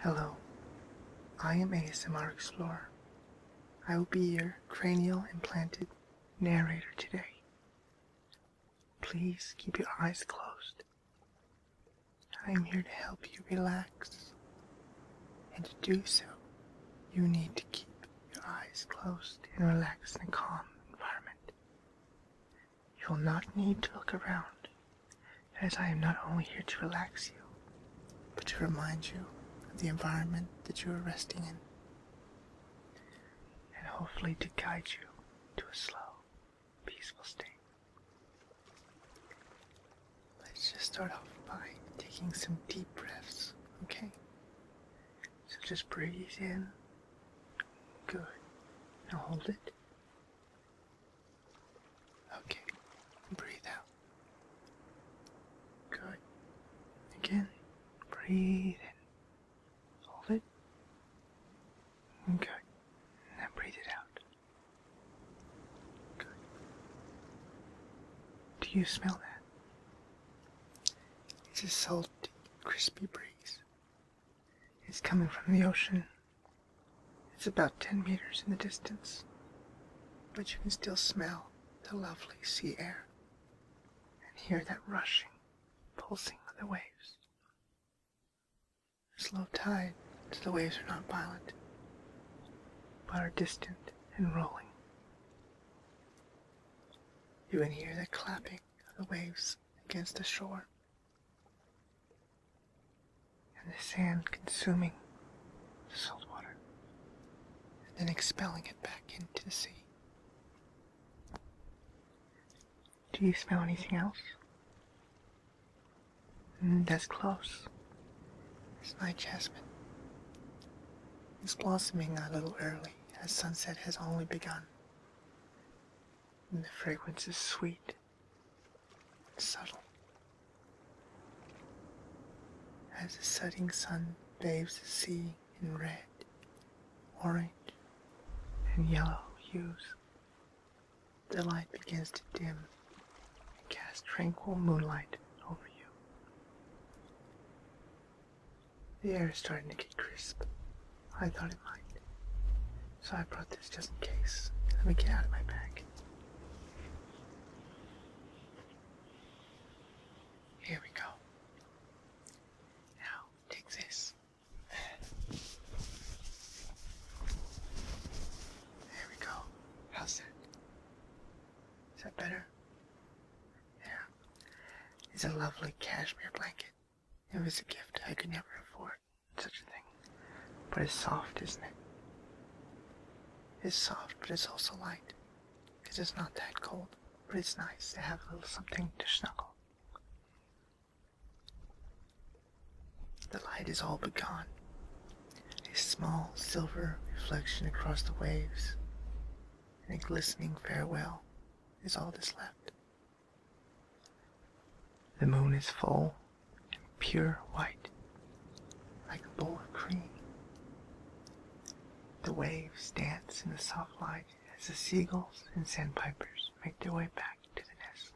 Hello, I am ASMR Explorer. I will be your cranial implanted narrator today. Please keep your eyes closed. I am here to help you relax. And to do so, you need to keep your eyes closed and relax in a calm environment. You will not need to look around, as I am not only here to relax you, but to remind you of the environment that you are resting in, and hopefully to guide you to a slow, peaceful state. Let's just start off by taking some deep breaths, okay? So just breathe in. Good. Now hold it. Okay, breathe out. Good. Again, breathe in. Hold it. Good. Now breathe it out. Good. Do you smell that? It's a salty, crispy breeze. It's coming from the ocean it's about 10 meters in the distance, but you can still smell the lovely sea air and hear that rushing, pulsing of the waves. It's low tide, so the waves are not violent, but are distant and rolling. You can hear the clapping of the waves against the shore and the sand consuming the salt water and then expelling it back into the sea. Do you smell anything else? Mm, that's close. It's night jasmine. It's blossoming a little early as sunset has only begun. And the fragrance is sweet subtle. As the setting sun bathes the sea in red, orange, and yellow hues, the light begins to dim and cast tranquil moonlight over you. The air is starting to get crisp. I thought it might. So I brought this just in case. Let me get out of my bag. Here we go. Now, take this. There we go. How's that? Is that better? Yeah. It's a lovely cashmere blanket. It was a gift I could never afford such a thing. But it's soft, isn't it? It's soft, but it's also light. Because it's not that cold, but it's nice to have a little something to snuggle. The light is all but gone. A small silver reflection across the waves, and a glistening farewell is all that's left. The moon is full and pure white, like a bowl of cream. The waves dance in the soft light as the seagulls and sandpipers make their way back to the nest.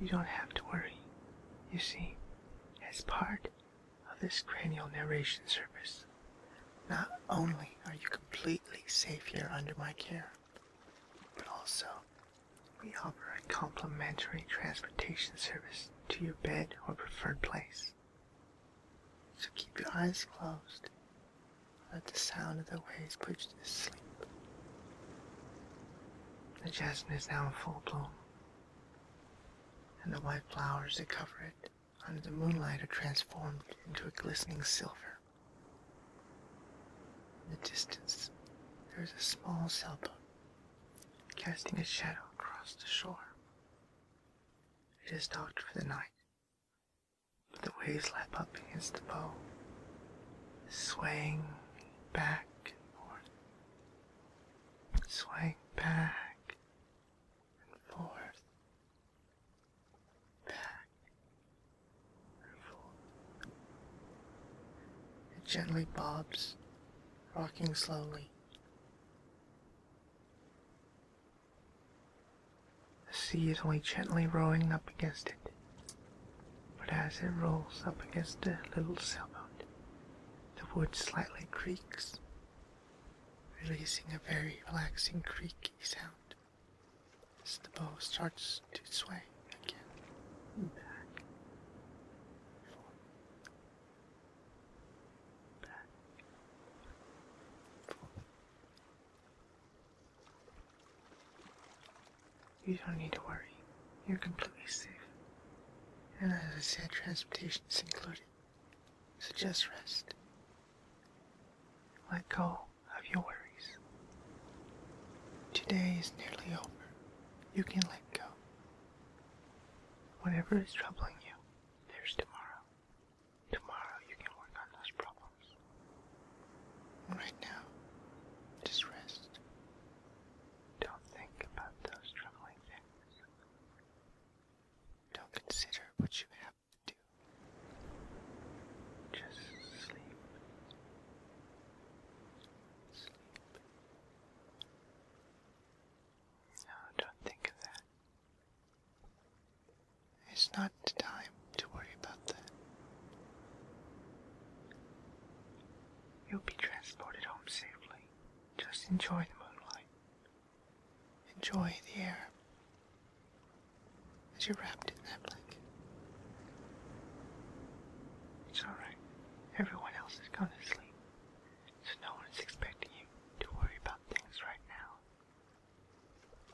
You don't have to worry, you see, as part of this cranial narration service. Not only are you completely safe here under my care, but also we offer a complimentary transportation service to your bed or preferred place. So keep your eyes closed. Let the sound of the waves put you to sleep. The jasmine is now in full bloom, and the white flowers that cover it under the moonlight are transformed into a glistening silver. In the distance, there is a small sailboat casting a shadow across the shore. It is dark for the night, but the waves lap up against the bow, swaying back and forth, swaying back and forth, back and forth. It gently bobs, rocking slowly. The sea is only gently rolling up against it, but as it rolls up against the little sailboat, the wood slightly creaks, releasing a very relaxing creaky sound. As the bow starts to sway again, back, forth, back, forth. You don't need to worry. You're completely safe. And as I said, transportation is included. So just rest. Let go of your worries. Today is nearly over. You can let go. Whatever is troubling you, there's tomorrow. Tomorrow you can work on those problems. Right now, just rest. Don't think about those troubling things. Don't consider what you have just sleep. Sleep. No, don't think of that. It's not time to worry about that. You'll be transported home safely. Just enjoy the moonlight. Enjoy the air as you're wrapped in that blanket. It's alright. Everyone else has gone to sleep, so no one is expecting you to worry about things right now.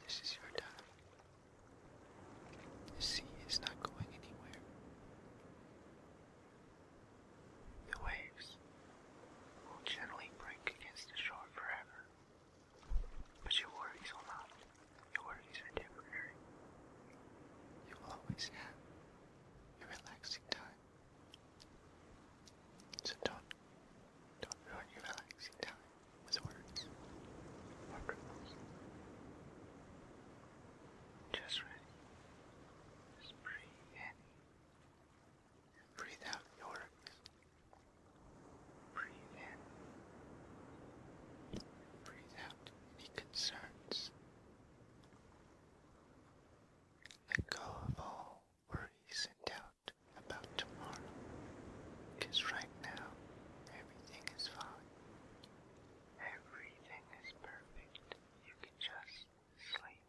This is your time. The sea is not going anywhere. The waves will gently break against the shore forever. But your worries will not. Your worries are temporary. You always have your relaxing time. So don't, don't ruin your relaxing time with words or criminals. Just ready. breathe in. Breathe out your worries. Breathe in. Breathe out any concerns. Let go of all worries and doubt about tomorrow. Because right now, everything is fine. Everything is perfect. You can just sleep.